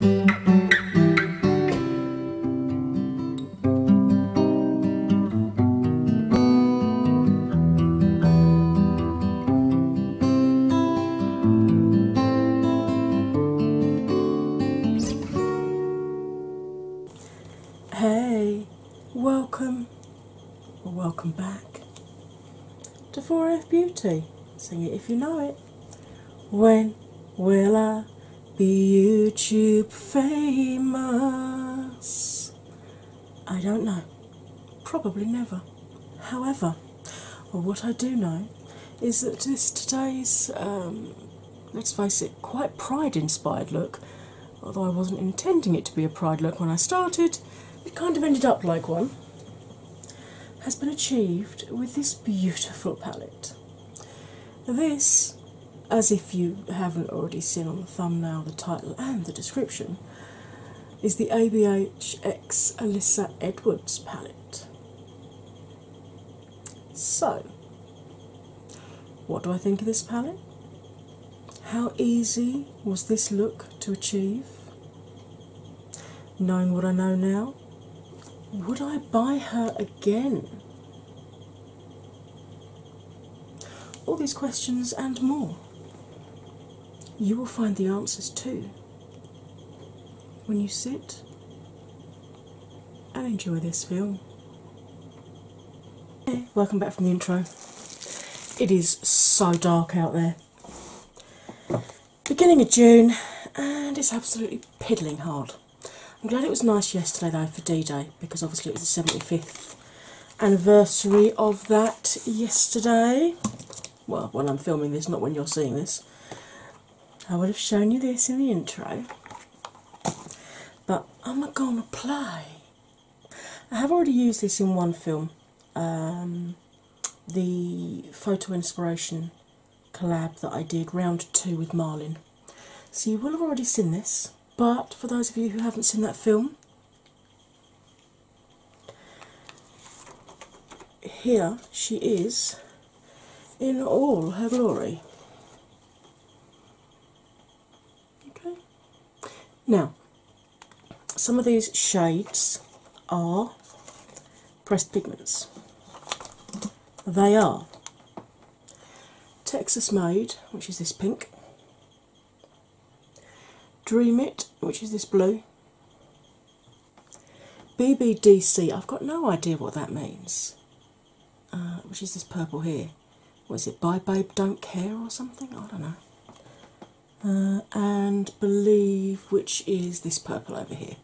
Hey, welcome or welcome back to 4F Beauty. Sing it if you know it. When will I be YouTube famous? I don't know. Probably never. However, what I do know is that this today's, um, let's face it, quite pride inspired look, although I wasn't intending it to be a pride look when I started, it kind of ended up like one has been achieved with this beautiful palette. This, as if you haven't already seen on the thumbnail, the title, and the description, is the ABH X Alyssa Edwards palette. So, what do I think of this palette? How easy was this look to achieve? Knowing what I know now, would I buy her again? All these questions and more. You will find the answers too when you sit and enjoy this film. welcome back from the intro. It is so dark out there beginning of June, and it's absolutely piddling hard. I'm glad it was nice yesterday though for D Day because obviously it was the 75th anniversary of that yesterday. Well, when I'm filming this, not when you're seeing this. I would have shown you this in the intro, but I'm not gonna play. I have already used this in one film, um, the photo inspiration collab that I did, round two with Marlin. So you will have already seen this, but for those of you who haven't seen that film, here she is in all her glory. Okay. Now, some of these shades are pressed pigments they are. Texas Mode, which is this pink. Dream It, which is this blue. BBDC, I've got no idea what that means, uh, which is this purple here. Was it Bye Babe Don't Care or something? I don't know. Uh, and Believe, which is this purple over here.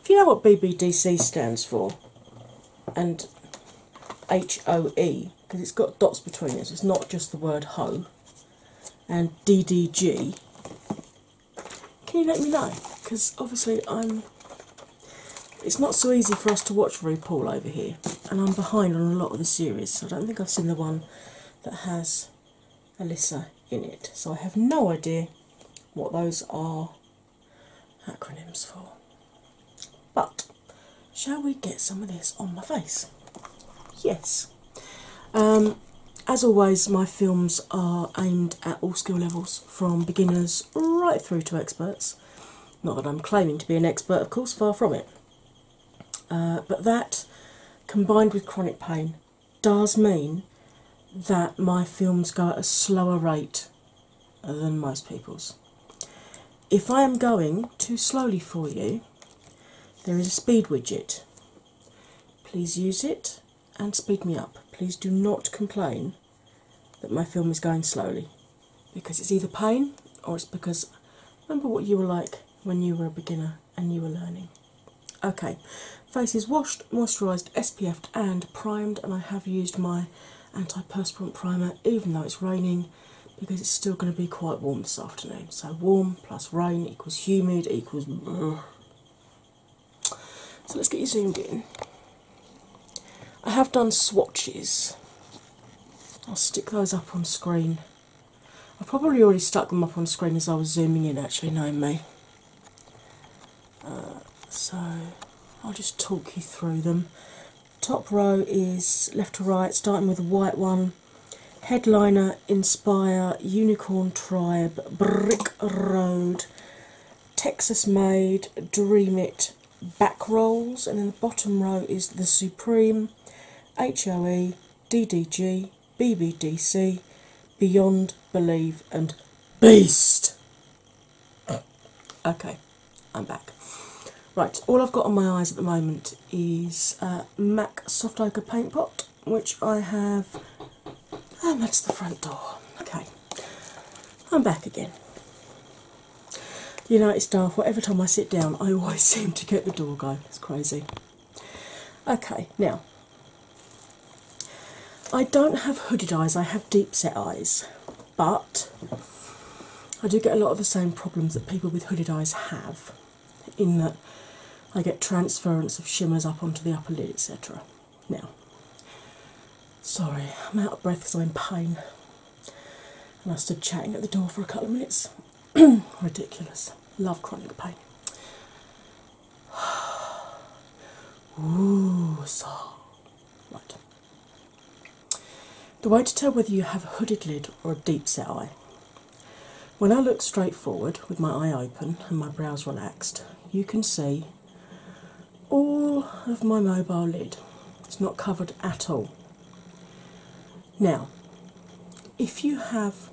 If you know what BBDC stands for and HOE, because it's got dots between it, it's not just the word hoe, and DDG, can you let me know? Because obviously, I'm. It's not so easy for us to watch RuPaul over here, and I'm behind on a lot of the series, so I don't think I've seen the one that has Alyssa in it, so I have no idea what those are acronyms for. But shall we get some of this on my face? Yes. Um, as always, my films are aimed at all skill levels from beginners right through to experts. Not that I'm claiming to be an expert, of course, far from it. Uh, but that combined with chronic pain does mean that my films go at a slower rate than most people's. If I am going too slowly for you, there is a speed widget. Please use it and speed me up. Please do not complain that my film is going slowly because it's either pain or it's because remember what you were like when you were a beginner and you were learning. Okay, Face is washed, moisturised, SPF'd, and primed. And I have used my anti-perspirant primer, even though it's raining, because it's still going to be quite warm this afternoon. So, warm plus rain equals humid equals. So, let's get you zoomed in. I have done swatches. I'll stick those up on screen. I've probably already stuck them up on screen as I was zooming in, actually, knowing me so I'll just talk you through them. Top row is left to right, starting with a white one. Headliner Inspire Unicorn Tribe Brick Road Texas Made Dream It Back Rolls, and then the bottom row is The Supreme H O E, D D G, B B D C, Beyond Believe and Beast. Okay, I'm back. Right, all I've got on my eyes at the moment is uh, MAC Soft Ochre Paint Pot, which I have. And that's the front door. Okay, I'm back again. United Star. it's Well, every time I sit down, I always seem to get the door go. It's crazy. Okay, now I don't have hooded eyes, I have deep set eyes, but I do get a lot of the same problems that people with hooded eyes have in that I get transference of shimmers up onto the upper lid, etc. Now, sorry, I'm out of breath because I'm in pain and I stood chatting at the door for a couple of minutes. Ridiculous. Love chronic pain. Ooh, soft. The way to tell whether you have a hooded lid or a deep set eye. When I look straight forward with my eye open and my brows relaxed, you can see all of my mobile lid. It's not covered at all. Now, if you have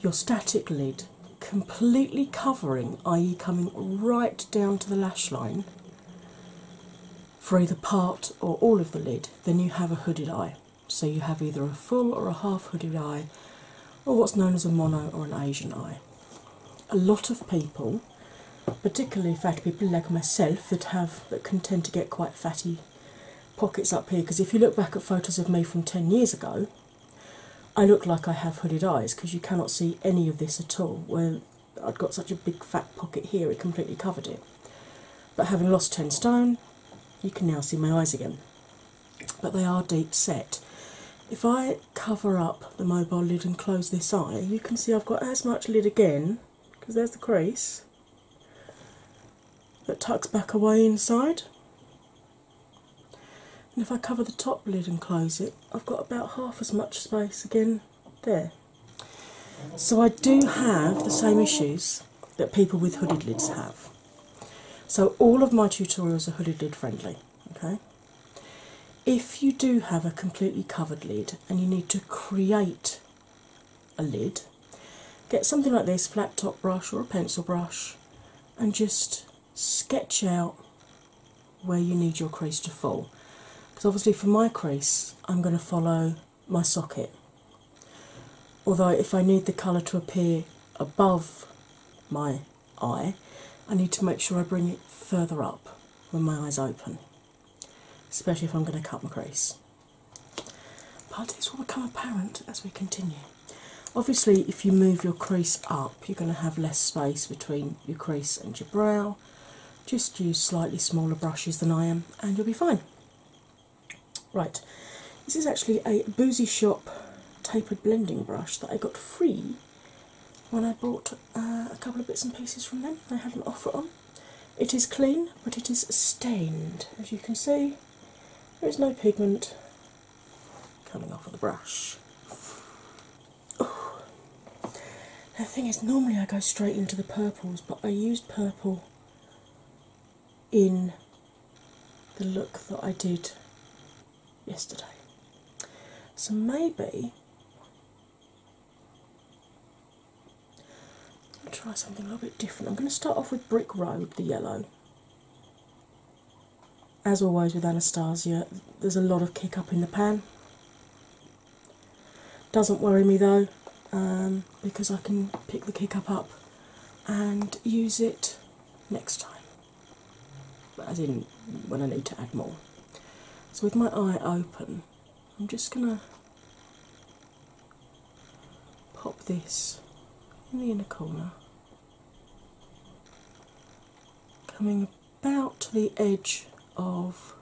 your static lid completely covering, i.e., coming right down to the lash line for either part or all of the lid, then you have a hooded eye. So you have either a full or a half hooded eye, or what's known as a mono or an Asian eye. A lot of people, particularly fat people like myself that have that can tend to get quite fatty pockets up here, because if you look back at photos of me from 10 years ago, I look like I have hooded eyes because you cannot see any of this at all. Well, I'd got such a big fat pocket here, it completely covered it. But having lost 10 stone, you can now see my eyes again. But they are deep set. If I cover up the mobile lid and close this eye, you can see I've got as much lid again, because there's the crease, that tucks back away inside. And if I cover the top lid and close it, I've got about half as much space again there. So I do have the same issues that people with hooded lids have. So all of my tutorials are hooded lid friendly. Okay. If you do have a completely covered lid and you need to create a lid, get something like this flat top brush or a pencil brush and just sketch out where you need your crease to fall. Because obviously, for my crease, I'm going to follow my socket. Although, if I need the colour to appear above my eye, I need to make sure I bring it further up when my eyes open, especially if I'm going to cut my crease. But this will become apparent as we continue. Obviously, if you move your crease up, you're going to have less space between your crease and your brow, just use slightly smaller brushes than I am, and you'll be fine. Right, this is actually a Boozy Shop tapered blending brush that I got free when I bought uh, a couple of bits and pieces from them. They had an offer on. It is clean, but it is stained. As you can see, there is no pigment coming off of the brush the thing is, normally I go straight into the purples, but I used purple in the look that I did yesterday. So maybe I'll try something a little bit different. I'm going to start off with Brick Road, the yellow. As always with Anastasia, there's a lot of kick up in the pan. Doesn't worry me though, um, because I can pick the kick up up and use it next time. But I didn't when I need to add more. So with my eye open, I'm just gonna pop this in the inner corner, coming about the edge of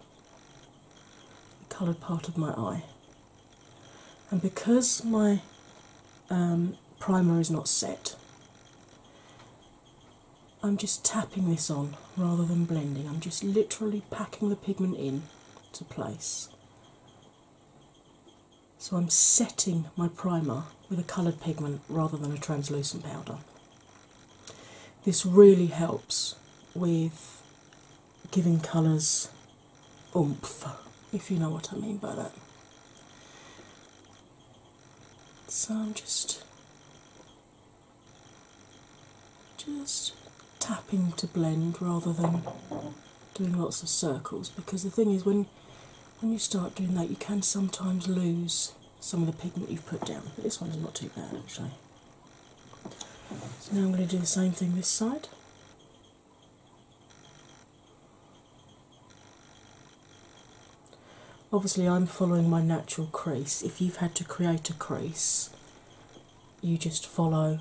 the coloured part of my eye. And because my um, primer is not set, I'm just tapping this on rather than blending. I'm just literally packing the pigment in to place. So I'm setting my primer with a coloured pigment rather than a translucent powder. This really helps with giving colours oomph, if you know what I mean by that. So I'm just just tapping to blend rather than doing lots of circles because the thing is when when you start doing that you can sometimes lose some of the pigment you've put down. But this one's not too bad actually. So now I'm going to do the same thing this side. Obviously, I'm following my natural crease. If you've had to create a crease, you just follow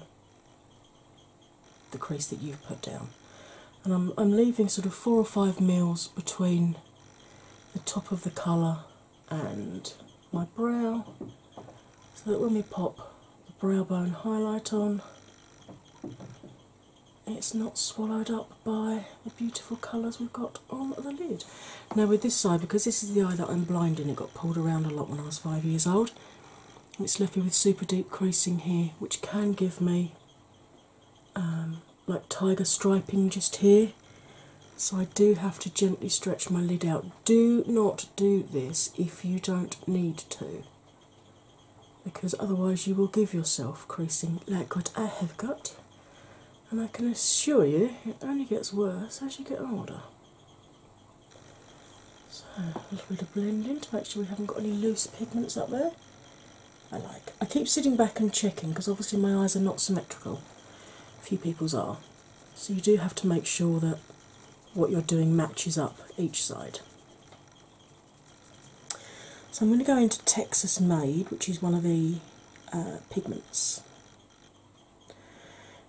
the crease that you've put down. And I'm, I'm leaving sort of four or five mils between the top of the colour and my brow so that when we pop the brow bone highlight on, it's not swallowed up by the beautiful colours we've got on the lid. Now, with this side, because this is the eye that I'm blinding, it got pulled around a lot when I was five years old. It's left me with super deep creasing here, which can give me um, like tiger striping just here. So I do have to gently stretch my lid out. Do not do this if you don't need to, because otherwise you will give yourself creasing like what I have got. And I can assure you it only gets worse as you get older. So a little bit of blending to make sure we haven't got any loose pigments up there. I like. I keep sitting back and checking because obviously my eyes are not symmetrical few people's are. So you do have to make sure that what you're doing matches up each side. So I'm going to go into Texas Made, which is one of the uh, pigments.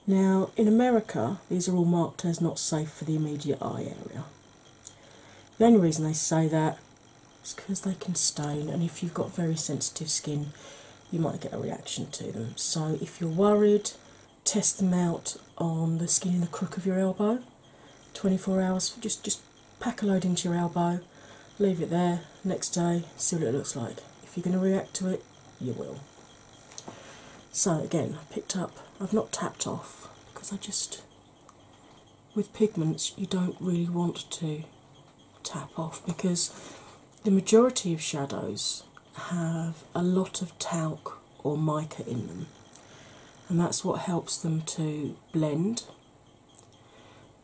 Now, in America, these are all marked as not safe for the immediate eye area. The only reason they say that is because they can stain, and if you've got very sensitive skin, you might get a reaction to them. So, if you're worried, test them out on the skin in the crook of your elbow. 24 hours, just, just pack a load into your elbow, leave it there, next day, see what it looks like. If you're going to react to it, you will. So, again, I picked up, I've not tapped off because I just, with pigments, you don't really want to tap off because the majority of shadows have a lot of talc or mica in them, and that's what helps them to blend.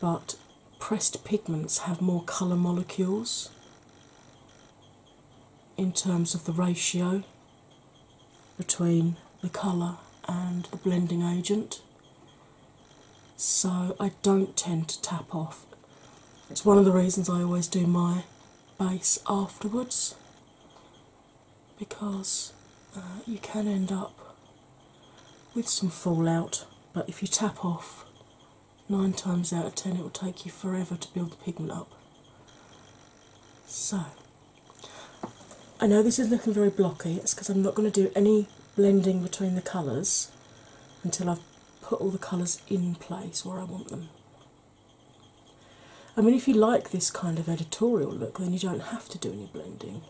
But pressed pigments have more colour molecules in terms of the ratio between the colour and the blending agent so I don't tend to tap off. It's one of the reasons I always do my base afterwards because uh, you can end up with some fallout, but if you tap off, nine times out of ten it will take you forever to build the pigment up. So, I know this is looking very blocky, it's because I'm not going to do any blending between the colours until I've put all the colours in place where I want them. I mean, if you like this kind of editorial look, then you don't have to do any blending.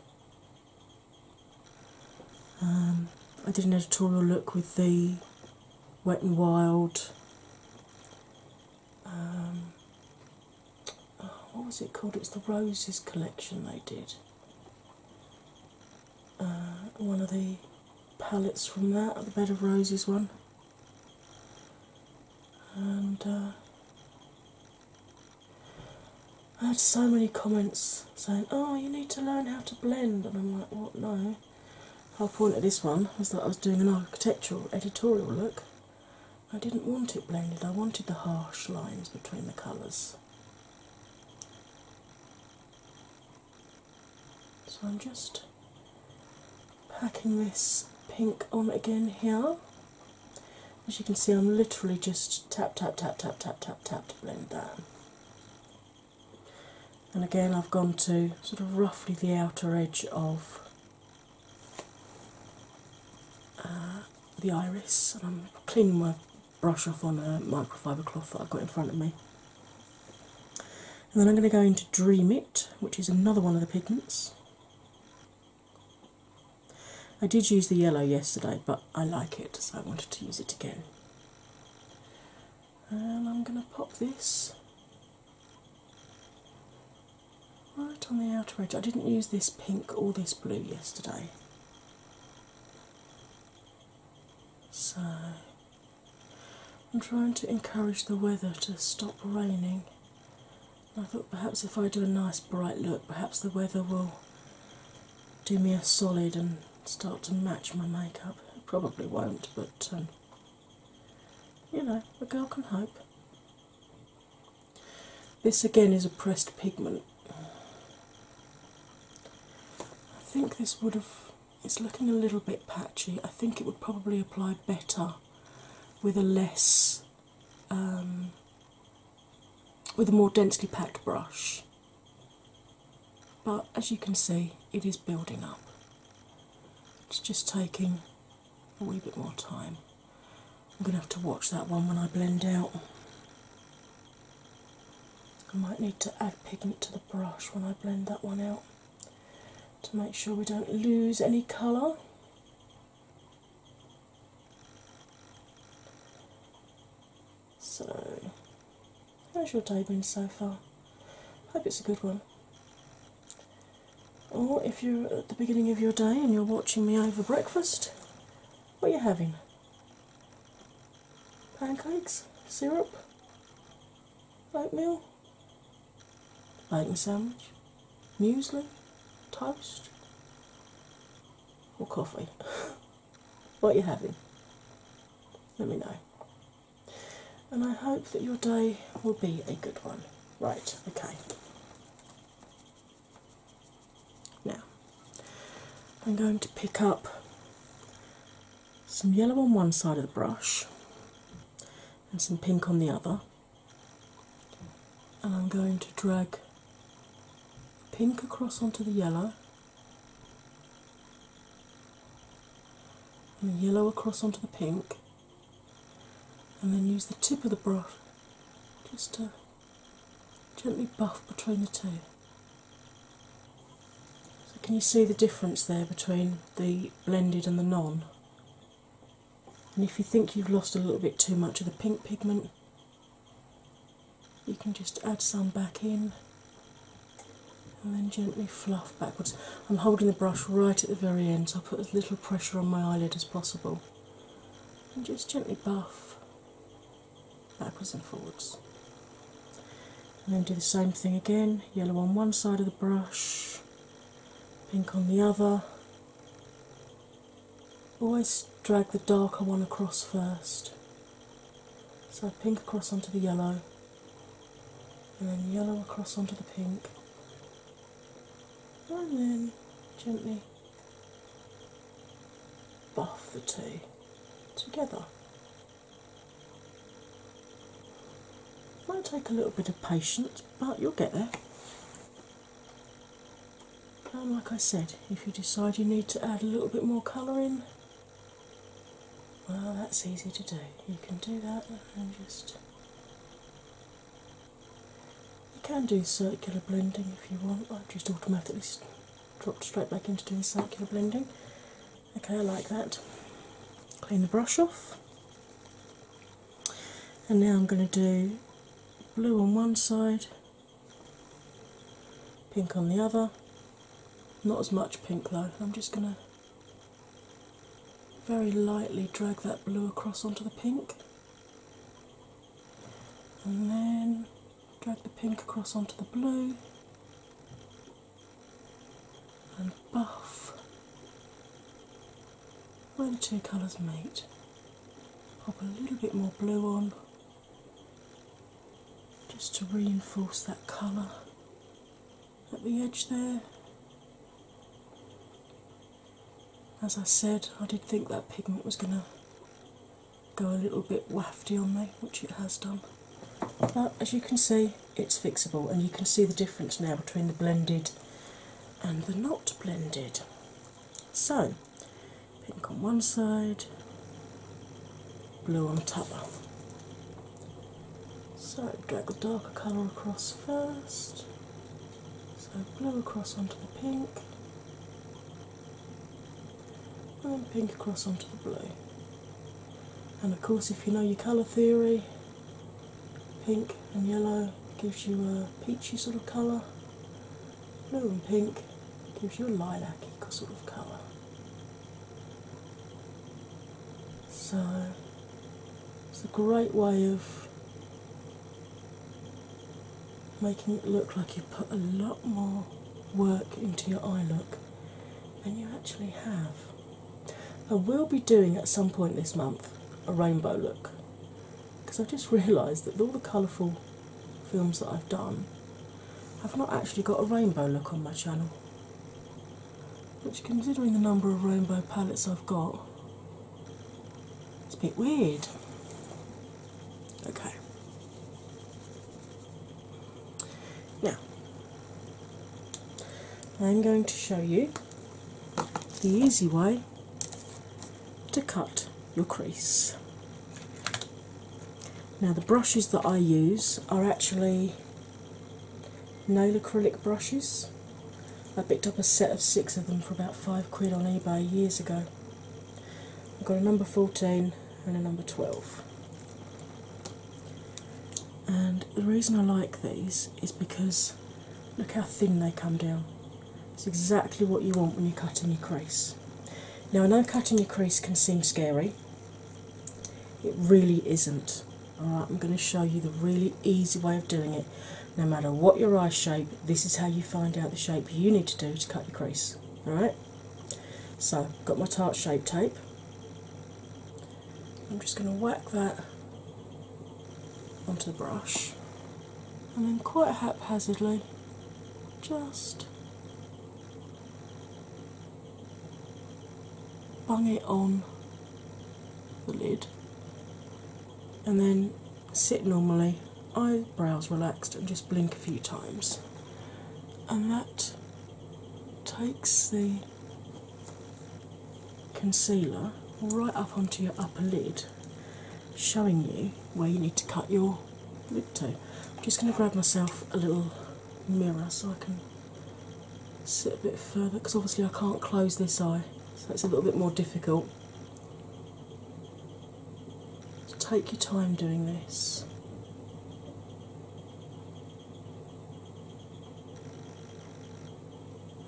Um, I did an editorial look with the Wet and Wild. Um, oh, what was it called? It's the Roses collection they did. Uh, one of the palettes from that, the Bed of Roses one, and uh, I had so many comments saying, "Oh, you need to learn how to blend," and I'm like, "What? No." i whole point of this one was that I was doing an architectural editorial look. I didn't want it blended. I wanted the harsh lines between the colours. So I'm just packing this pink on again here. As you can see, I'm literally just tap, tap, tap, tap, tap, tap, tap to blend that. And again, I've gone to sort of roughly the outer edge of uh, the iris, and I'm cleaning my brush off on a microfiber cloth that I've got in front of me. And then I'm going to go into Dream It, which is another one of the pigments. I did use the yellow yesterday, but I like it, so I wanted to use it again. And I'm going to pop this right on the outer edge. I didn't use this pink or this blue yesterday. So I'm trying to encourage the weather to stop raining. I thought perhaps if I do a nice bright look, perhaps the weather will do me a solid and start to match my makeup. probably won't, but um, you know, a girl can hope. This again is a pressed pigment. I think this would have it's looking a little bit patchy. I think it would probably apply better with a less, um, with a more densely packed brush. But as you can see, it is building up. It's just taking a wee bit more time. I'm going to have to watch that one when I blend out. I might need to add pigment to the brush when I blend that one out to make sure we don't lose any colour. So, how's your day been so far? Hope it's a good one. Or if you're at the beginning of your day and you're watching me over breakfast, what are you having? pancakes, syrup, oatmeal, bacon sandwich, muesli, toast, or coffee. what are you having? Let me know. And I hope that your day will be a good one. Right, okay. Now, I'm going to pick up some yellow on one side of the brush and some pink on the other, and I'm going to drag pink across onto the yellow. And the yellow across onto the pink, and then use the tip of the brush just to gently buff between the two. So can you see the difference there between the blended and the non? And if you think you've lost a little bit too much of the pink pigment, you can just add some back in and then gently fluff backwards. I'm holding the brush right at the very end, so I put as little pressure on my eyelid as possible. And just gently buff backwards and forwards. And then do the same thing again yellow on one side of the brush, pink on the other. Always drag the darker one across first. So pink across onto the yellow, and then yellow across onto the pink, and then gently buff the two together. Might take a little bit of patience, but you'll get there. And like I said, if you decide you need to add a little bit more colour in, well, that's easy to do. You can do that and just. You can do circular blending if you want. I've just automatically dropped straight back into doing circular blending. Okay, I like that. Clean the brush off. And now I'm going to do blue on one side, pink on the other. Not as much pink though, I'm just going to very lightly drag that blue across onto the pink. And then drag the pink across onto the blue and buff. Where the two colours meet, pop a little bit more blue on just to reinforce that colour at the edge there. As I said, I did think that pigment was going to go a little bit wafty on me, which it has done. But as you can see, it's fixable, and you can see the difference now between the blended and the not blended. So, pink on one side, blue on top. So, drag the darker colour across first. So, blue across onto the pink, and pink across onto the blue. And of course, if you know your colour theory, pink and yellow gives you a peachy sort of colour, blue and pink gives you a lilac sort of colour. So it's a great way of making it look like you put a lot more work into your eye look than you actually have. I will be doing at some point this month a rainbow look because I've just realised that all the colourful films that I've done, I've not actually got a rainbow look on my channel. Which, considering the number of rainbow palettes I've got, it's a bit weird. Okay, now, I'm going to show you the easy way to cut your crease. Now, the brushes that I use are actually nail acrylic brushes. I picked up a set of six of them for about five quid on eBay years ago. I've got a number 14 and a number 12. And the reason I like these is because look how thin they come down. It's exactly what you want when you're cutting your crease. Now, I know cutting your crease can seem scary, it really isn't. Alright, I'm going to show you the really easy way of doing it. No matter what your eye shape, this is how you find out the shape you need to do to cut your crease. Alright? So, got my tart shape tape. I'm just going to whack that onto the brush and then quite haphazardly just bang it on the lid and then sit normally, eyebrows relaxed, and just blink a few times. And that takes the concealer right up onto your upper lid, showing you where you need to cut your lid to. I'm just going to grab myself a little mirror so I can sit a bit further because obviously I can't close this eye, so it's a little bit more difficult. So take your time doing this.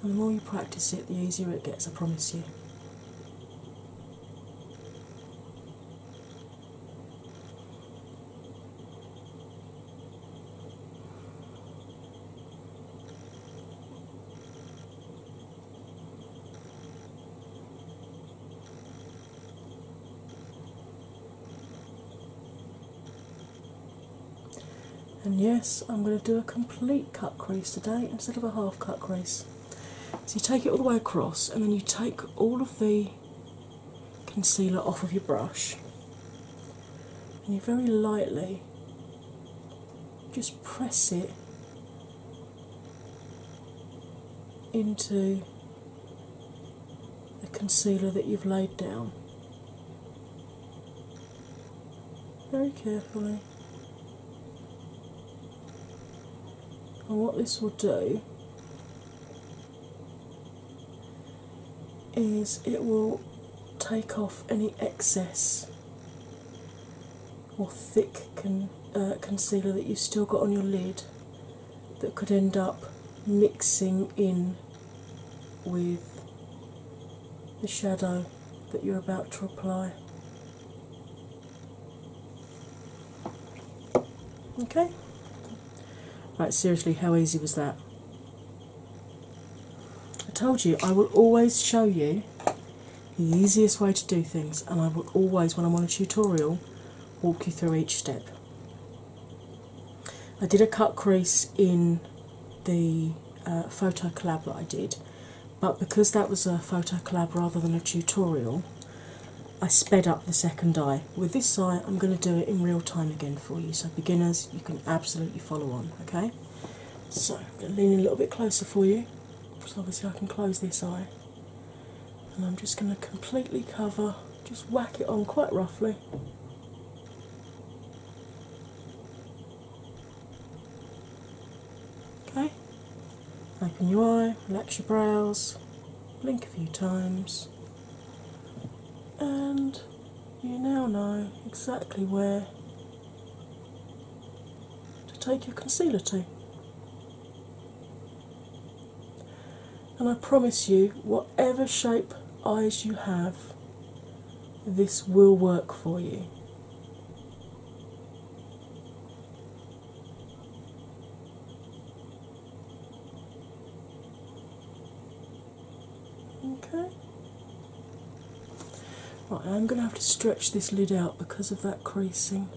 And the more you practice it, the easier it gets, I promise you. And yes, I'm going to do a complete cut crease today instead of a half cut crease. So you take it all the way across, and then you take all of the concealer off of your brush, and you very lightly just press it into the concealer that you've laid down very carefully. And what this will do is it will take off any excess or thick uh, concealer that you've still got on your lid that could end up mixing in with the shadow that you're about to apply. Okay? Right, seriously, how easy was that? I told you, I will always show you the easiest way to do things, and I will always, when I'm on a tutorial, walk you through each step. I did a cut crease in the uh, photo collab that I did, but because that was a photo collab rather than a tutorial, I sped up the second eye. With this eye, I'm going to do it in real time again for you, so beginners, you can absolutely follow on, okay? So, leaning a little bit closer for you, so obviously I can close this eye, and I'm just going to completely cover just whack it on quite roughly. Okay, open your eye, relax your brows, blink a few times, and you now know exactly where to take your concealer to and I promise you, whatever shape eyes you have, this will work for you. Okay. Right, I'm going to have to stretch this lid out because of that creasing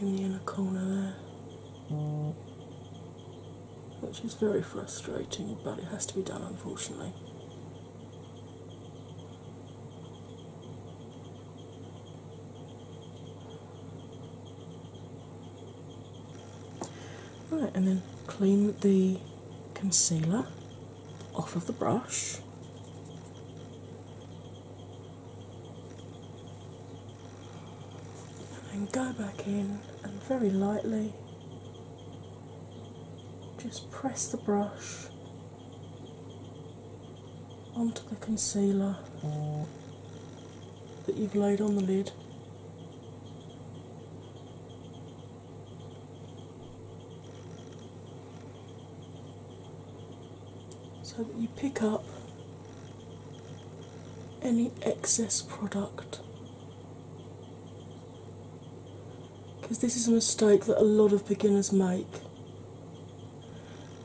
in the inner corner there which is very frustrating, but it has to be done unfortunately. Right, and then clean the concealer off of the brush and then go back in and very lightly just press the brush onto the concealer that you've laid on the lid. So that you pick up any excess product. Because this is a mistake that a lot of beginners make.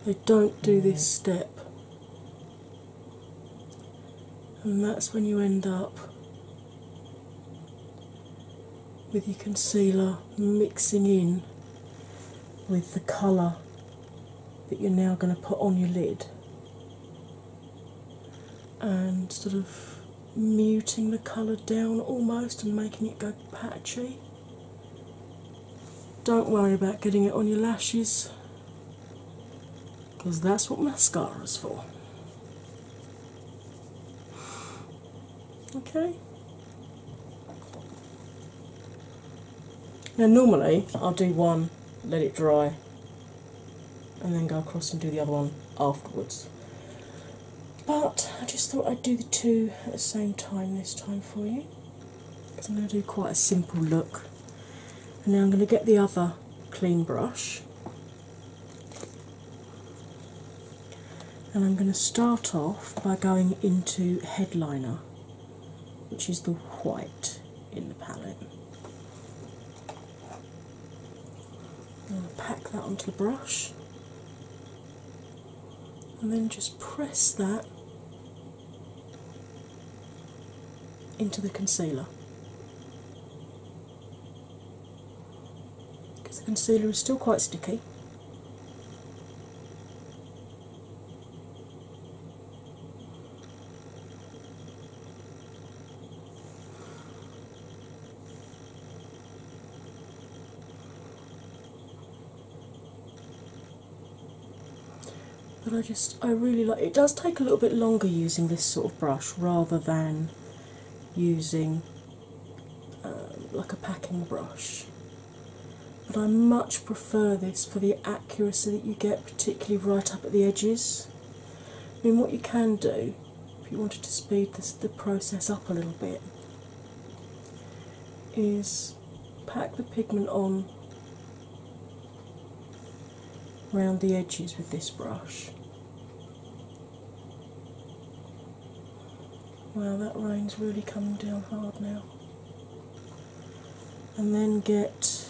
They don't do this mm. step, and that's when you end up with your concealer mixing in with the colour that you're now going to put on your lid and sort of muting the colour down almost and making it go patchy. Don't worry about getting it on your lashes because that's what mascara is for. Okay? Now, normally I'll do one, let it dry, and then go across and do the other one afterwards. But I just thought I'd do the two at the same time this time for you because I'm going to do quite a simple look. And now I'm going to get the other clean brush and I'm going to start off by going into headliner, which is the white in the palette pack that onto the brush and then just press that into the concealer. Because the concealer is still quite sticky. But I just, I really like it. does take a little bit longer using this sort of brush rather than using um, like a packing brush. But I much prefer this for the accuracy that you get, particularly right up at the edges. I mean, what you can do if you wanted to speed this, the process up a little bit is pack the pigment on around the edges with this brush. Wow, that rain's really coming down hard now. And then get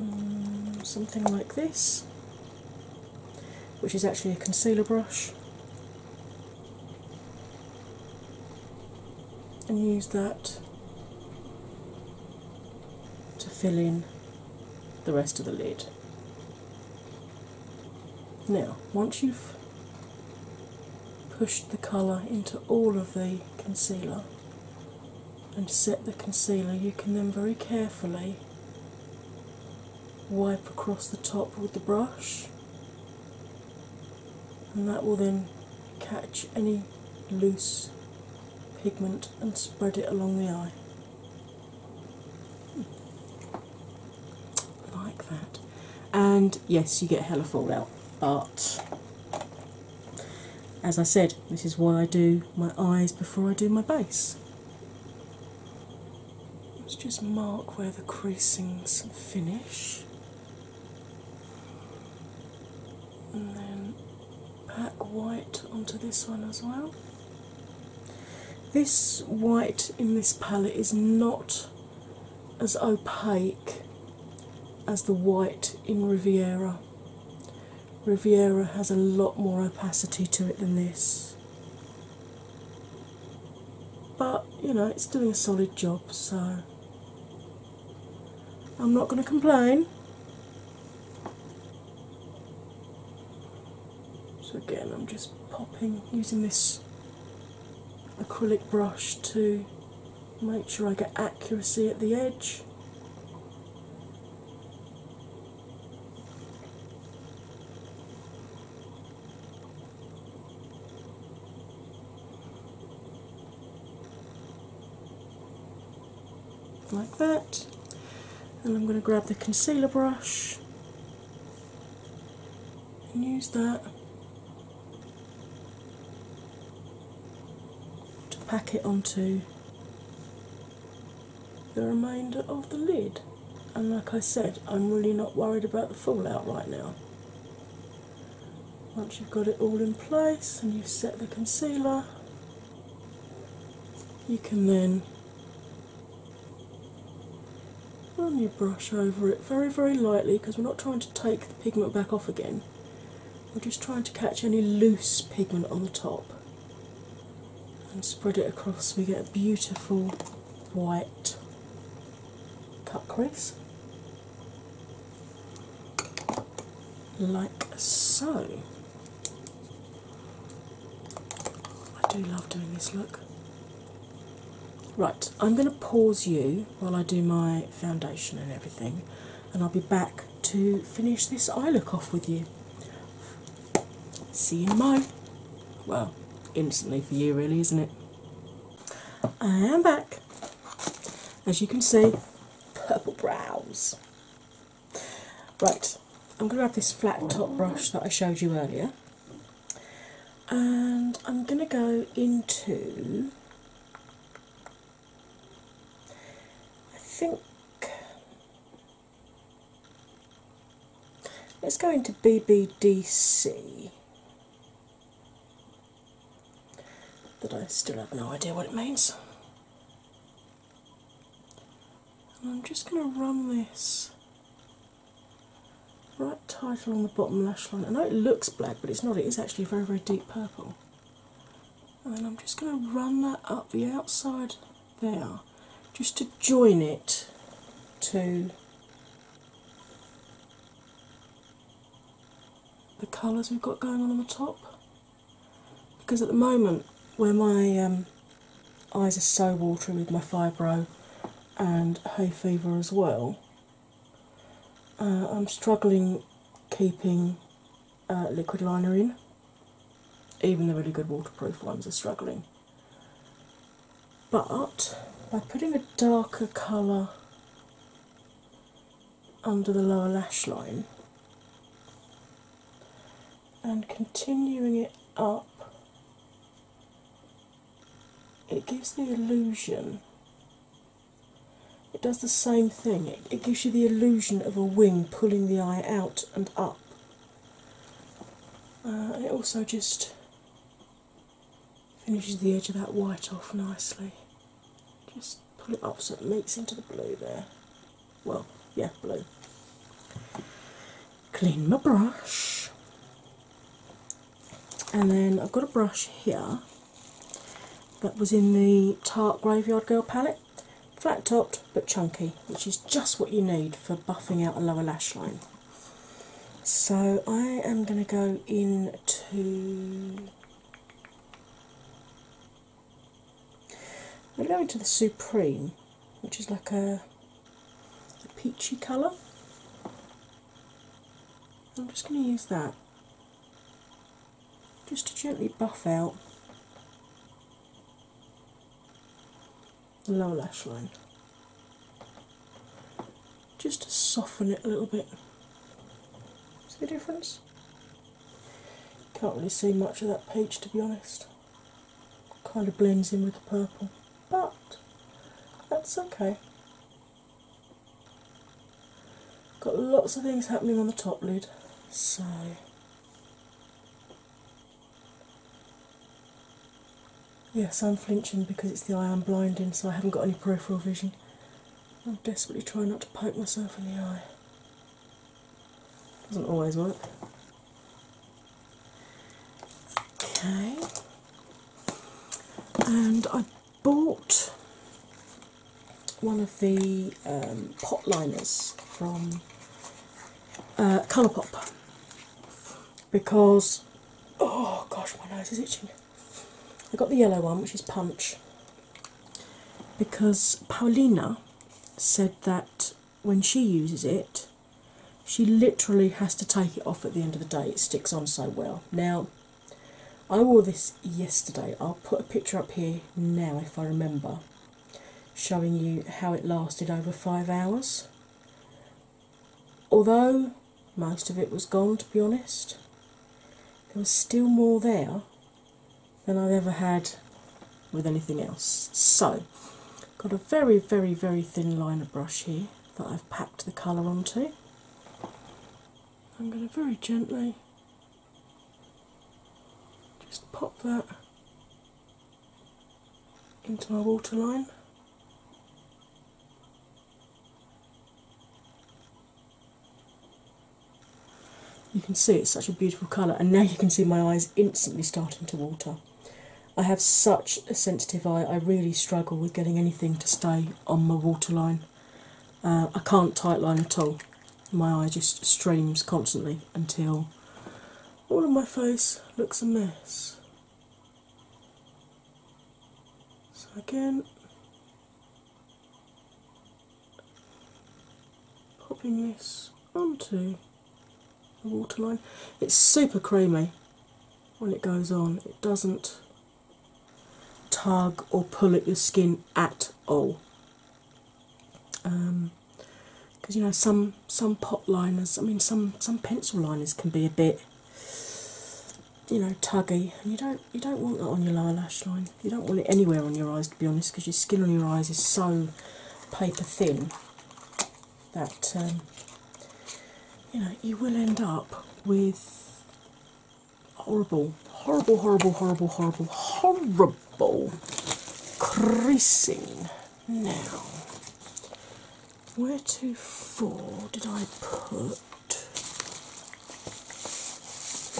Mm, something like this, which is actually a concealer brush, and use that to fill in the rest of the lid. Now, once you've pushed the colour into all of the concealer, and set the concealer, you can then very carefully wipe across the top with the brush, and that will then catch any loose pigment and spread it along the eye. Like that. And yes, you get a hella fallout, but as I said, this is why I do my eyes before I do my base. Let's just mark where the creasings finish and then pack white onto this one as well. This white in this palette is not as opaque as the white in Riviera. Riviera has a lot more opacity to it than this. But you know, it's doing a solid job, so I'm not going to complain. So, again, I'm just popping using this acrylic brush to make sure I get accuracy at the edge. like that and I'm going to grab the concealer brush and use that to pack it onto the remainder of the lid. And like I said, I'm really not worried about the fallout right now. Once you've got it all in place and you've set the concealer, you can then run your brush over it very, very lightly because we're not trying to take the pigment back off again. We're just trying to catch any loose pigment on the top and spread it across. We get a beautiful white cut crease, like so. I do love doing this look. Right, I'm going to pause you while I do my foundation and everything, and I'll be back to finish this eye look off with you. See you Mo. Well, instantly for you, really, isn't it? I am back. As you can see, purple brows. Right, I'm going to have this flat top brush that I showed you earlier, and I'm going to go into I think let's go into BBDC. but I still have no idea what it means. And I'm just going to run this right tighter along the bottom lash line. I know it looks black, but it's not, it is actually very, very deep purple and then I'm just going to run that up the outside there just to join it to the colours we've got going on on the top because at the moment where my um, eyes are so watery with my fibro and hay fever as well uh, I'm struggling keeping uh, liquid liner in. Even the really good waterproof ones are struggling. But by putting a darker colour under the lower lash line and continuing it up, it gives the illusion it does the same thing, it, gives you the illusion of a wing pulling the eye out and up. Uh, it also just finishes the edge of that white off nicely. Just pull it up so it meets into the blue there. Well, yeah, blue. Clean my brush, and then I've got a brush here that was in the Tart Graveyard Girl palette. Flat topped but chunky, which is just what you need for buffing out a lower lash line. So I am going to go into. I'm going to the Supreme, which is like a peachy colour. I'm just going to use that just to gently buff out the lower lash line, just to soften it a little bit. See the difference? Can't really see much of that peach to be honest. Kind of blends in with the purple, but that's okay. Got lots of things happening on the top lid, so yes, I'm flinching because it's the eye I'm blind in, so I haven't got any peripheral vision. I'm desperately trying not to poke myself in the eye. Doesn't always work. Okay, and I bought one of the um, pot liners from uh, Colourpop because oh gosh, my nose is itching. I got the yellow one, which is Punch, because Paulina said that when she uses it, she literally has to take it off at the end of the day. It sticks on so well. Now, I wore this yesterday. I'll put a picture up here now if I remember, showing you how it lasted over five hours. Although most of it was gone, to be honest, there was still more there than I've ever had with anything else. So, got a very, very, very thin liner brush here that I've packed the colour onto. I'm going to very gently just pop that into my waterline. You can see it's such a beautiful colour, and now you can see my eyes instantly starting to water. I have such a sensitive eye, I really struggle with getting anything to stay on my waterline. Uh, I can't tightline at all my eye just streams constantly until all of my face looks a mess. So, again, popping this onto the waterline. It's super creamy when it goes on, it doesn't tug or pull at your skin at all because um, you know some some pot liners, I mean some some pencil liners can be a bit you know tuggy, and you don't you don't want that on your lower lash line. You don't want it anywhere on your eyes, to be honest, because your skin on your eyes is so paper thin that um, you know you will end up with horrible, horrible, horrible, horrible, horrible, horrible creasing. Now, where to for did I put?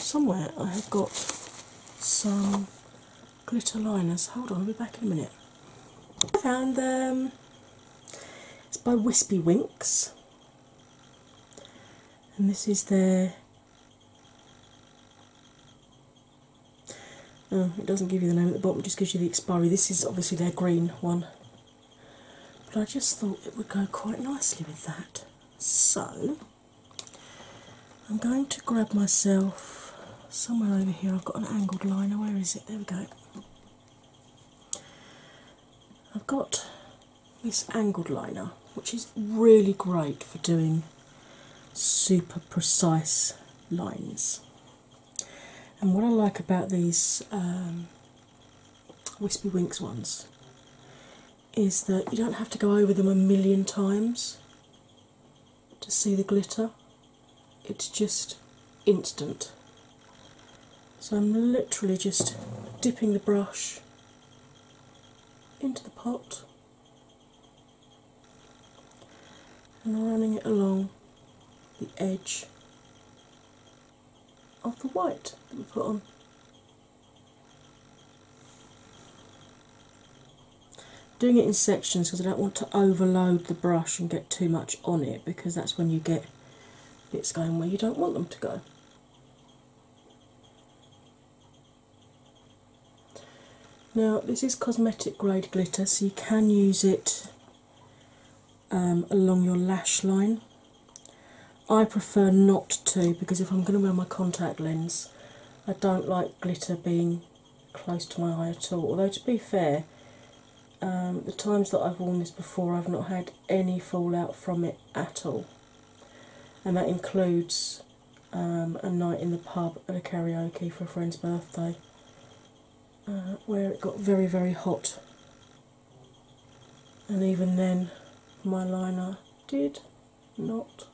Somewhere I have got some glitter liners. Hold on, I'll be back in a minute. I found them. It's by Wispy Winks, and this is their Oh, it doesn't give you the name at the bottom, it just gives you the expiry. This is obviously their green one, but I just thought it would go quite nicely with that. So I'm going to grab myself somewhere over here. I've got an angled liner. Where is it? There we go. I've got this angled liner, which is really great for doing super precise lines. And what I like about these um, Wispy Winks ones is that you don't have to go over them a million times to see the glitter, it's just instant. So I'm literally just dipping the brush into the pot and running it along the edge of the white that we put on. Doing it in sections because I don't want to overload the brush and get too much on it because that's when you get bits going where you don't want them to go. Now, this is cosmetic grade glitter, so you can use it um, along your lash line. I prefer not to because if I'm going to wear my contact lens, I don't like glitter being close to my eye at all. Although, to be fair, um, the times that I've worn this before, I've not had any fallout from it at all, and that includes um, a night in the pub and a karaoke for a friend's birthday uh, where it got very, very hot. And even then, my liner did not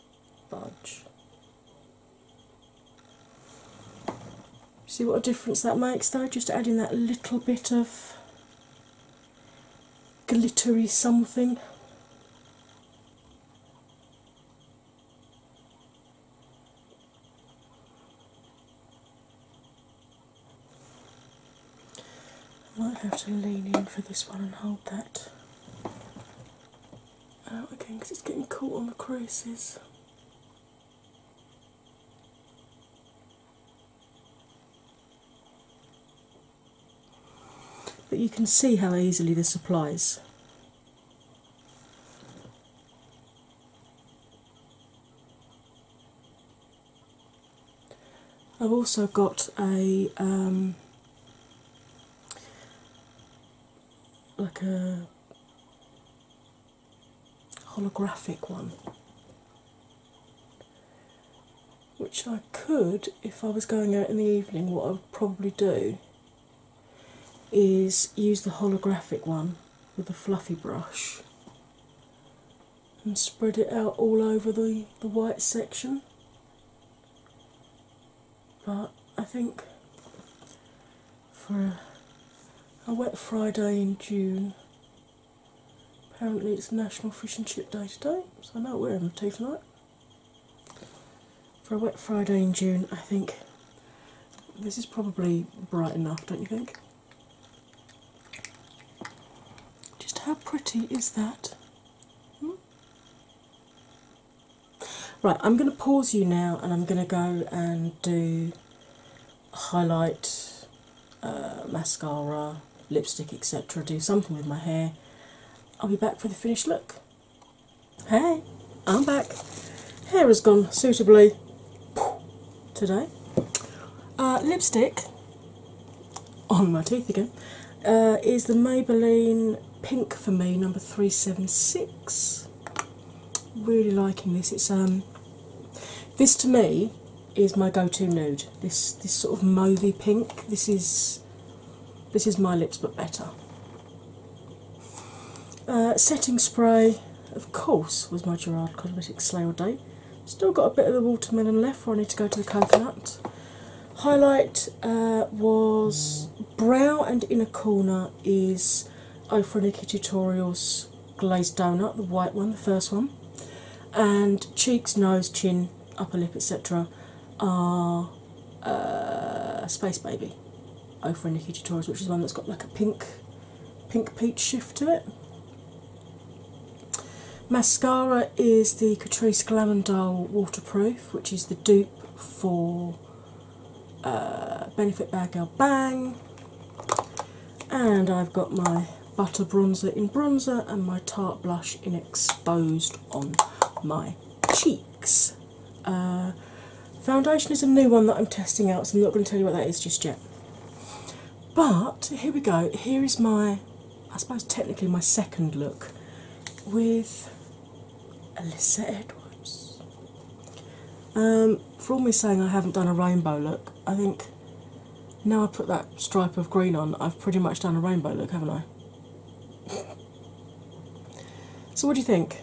budge. See what a difference that makes though, just adding that little bit of glittery something. I might have to lean in for this one and hold that out again because it's getting caught on the creases. But you can see how easily this applies. I've also got a um, like a holographic one which I could, if I was going out in the evening, what I would probably do is use the holographic one with a fluffy brush and spread it out all over the, the white section. But I think for a, wet Friday in June, apparently it's National Fish and Chip Day today, so I know what we're having tea tonight. For a wet Friday in June, I think this is probably bright enough, don't you think? Just how pretty is that? Hmm? Right, I'm going to pause you now and I'm going to go and do highlight, uh, mascara, lipstick, etc. Do something with my hair. I'll be back for the finished look. Hey, I'm back. Hair has gone suitably today. Uh, lipstick on my teeth again uh, is the Maybelline Pink for Me number 376. Really liking this. It's um this to me is my go-to nude. This this sort of mauvey pink. This is this is my lips but better. Uh, setting spray, of course, was my Gerard Cosmetics Slayer Day. Still got a bit of the watermelon left where I need to go to the coconut. Highlight uh, was brow and inner corner is Ofreniki Tutorials Glazed Donut, the white one, the first one. And cheeks, nose, chin, upper lip, etc. are uh, Space Baby Ofra Nikki Tutorials, which is one that's got like a pink pink peach shift to it. Mascara is the Catrice Glamondol Waterproof, which is the dupe for uh, Benefit Bagel Bang. And I've got my butter bronzer in bronzer and my tart blush in exposed on my cheek. Uh, foundation is a new one that I'm testing out, so I'm not going to tell you what that is just yet. But here we go. Here is my, I suppose, technically my second look with Alyssa Edwards. Um, for all me saying I haven't done a rainbow look, I think now I put that stripe of green on, I've pretty much done a rainbow look, haven't I? So, what do you think?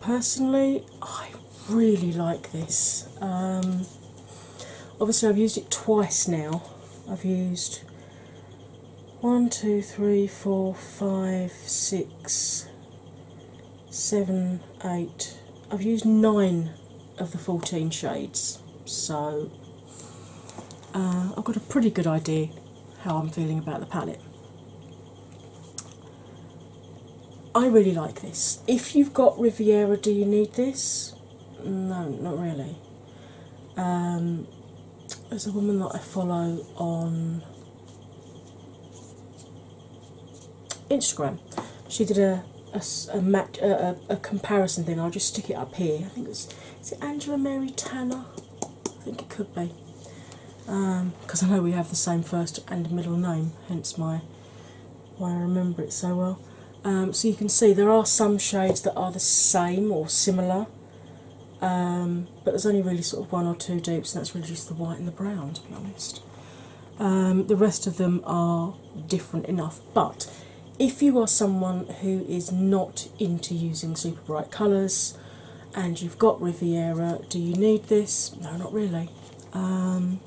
Personally, I really like this. Um, obviously, I've used it twice now. I've used one, two, three, four, five, six, seven, eight. I've used nine of the 14 shades, so uh, I've got a pretty good idea how I'm feeling about the palette. I really like this. If you've got Riviera, do you need this? No, not really. Um, there's a woman that I follow on Instagram. She did a a, comparison thing. I'll just stick it up here. I think it's is it Angela Mary Tanner. I think it could be. Because um, I know we have the same first and middle name, hence my why I remember it so well. Um, so you can see there are some shades that are the same or similar, um, but there's only really sort of one or two dupes, and that's really just the white and the brown, to be honest. the rest of them are different enough, but if you are someone who is not into using super bright colours and you've got Riviera, do you need this? No, not really. Um,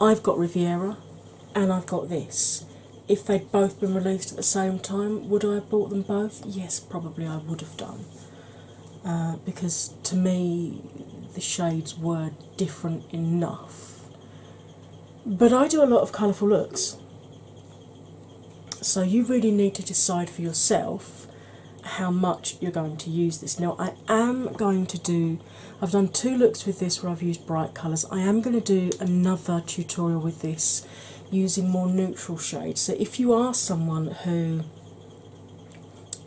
I've got Riviera and I've got this. If they'd both been released at the same time, would I have bought them both? Yes, probably I would have done. Uh, because to me, the shades were different enough but I do a lot of colourful looks, so you really need to decide for yourself how much you're going to use this. Now, I am going to do, I've done two looks with this where I've used bright colours. I am going to do another tutorial with this using more neutral shades. So, if you are someone who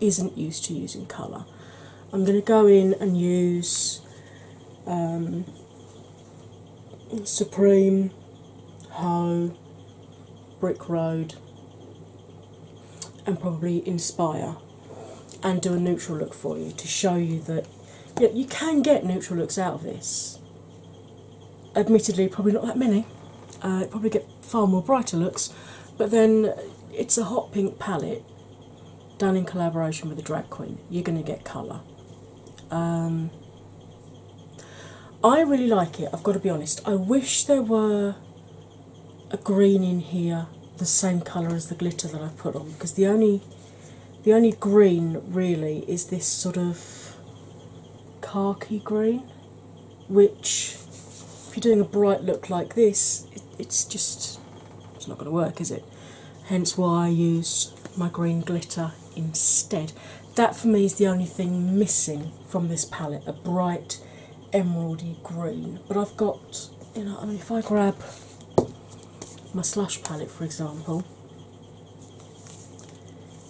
isn't used to using colour, I'm going to go in and use. Um, Supreme, Ho, Brick Road, and probably Inspire, and do a neutral look for you to show you that you, you can get neutral looks out of this. Admittedly, probably not that many. Uh, probably get far more brighter looks, but then it's a hot pink palette done in collaboration with a drag queen. You're going to get colour. Um, I really like it, I've got to be honest. I wish there were a green in here the same colour as the glitter that I put on because the only the only green really is this sort of khaki green which if you're doing a bright look like this it's just it's not going to work is it hence why I use my green glitter instead. That for me is the only thing missing from this palette a bright emeraldy green. But I've got, you know, I mean, if I grab my slush palette for example,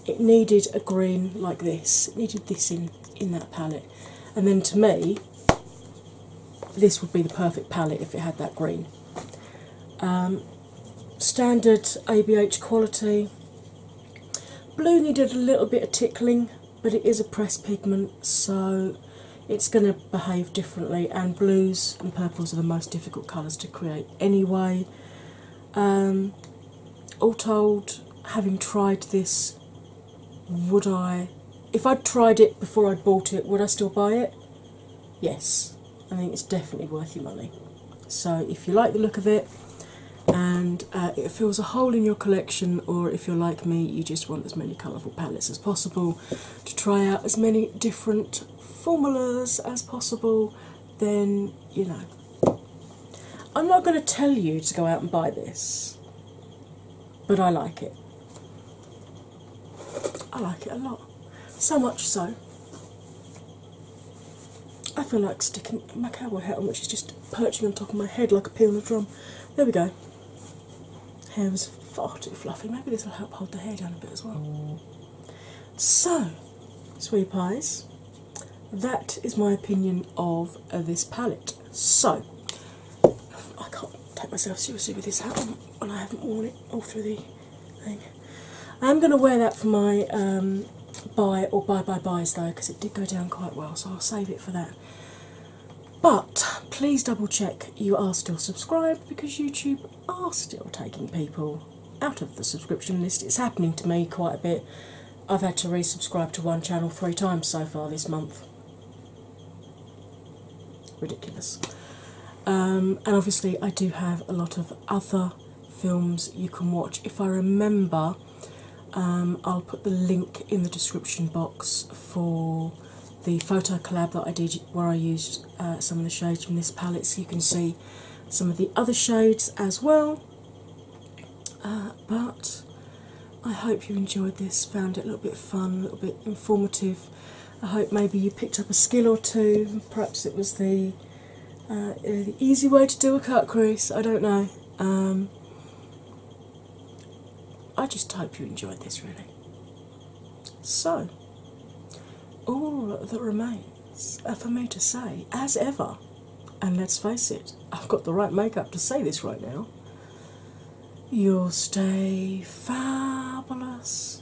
it needed a green like this, it needed this in, in that palette. And then to me, this would be the perfect palette if it had that green. Um, standard ABH quality. Blue needed a little bit of tickling, but it is a press pigment, so it's going to behave differently. And blues and purples are the most difficult colours to create anyway. Um, all told, having tried this, would I, if I'd tried it before I bought it, would I still buy it? yes, I think it's definitely worth your money. So, if you like the look of it and uh, it fills a hole in your collection, or if you're like me, you just want as many colourful palettes as possible to try out as many different formulas as possible, then you know. I'm not going to tell you to go out and buy this, but I like it. I like it a lot. So much so, I feel like sticking my cowboy hat on, which is just perching on top of my head like a peel of drum. There we go. Hair is far too fluffy. Maybe this will help hold the hair down a bit as well. So, sweet eyes. that is my opinion of this palette. So, I can't take myself seriously with this hat on when I haven't worn it all through the I'm going to wear that for my um, buy or buy buy buys though, because it did go down quite well, so I'll save it for that. But please double check you are still subscribed because YouTube are still taking people out of the subscription list. It's happening to me quite a bit. I've had to resubscribe to one channel three times so far this month. Ridiculous. Um, and obviously, I do have a lot of other films you can watch. If I remember, um, I'll put the link in the description box for the photo collab that I did where I used uh, some of the shades from this palette so you can see some of the other shades as well. Uh, but I hope you enjoyed this, found it a little bit fun, a little bit informative. I hope maybe you picked up a skill or two. Perhaps it was the, uh, uh, easy way to do a cut crease. I don't know. Um, I just hope you enjoyed this really. So, all that remains uh, for me to say, as ever, and let's face it, I've got the right makeup to say this right now. You'll stay fabulous,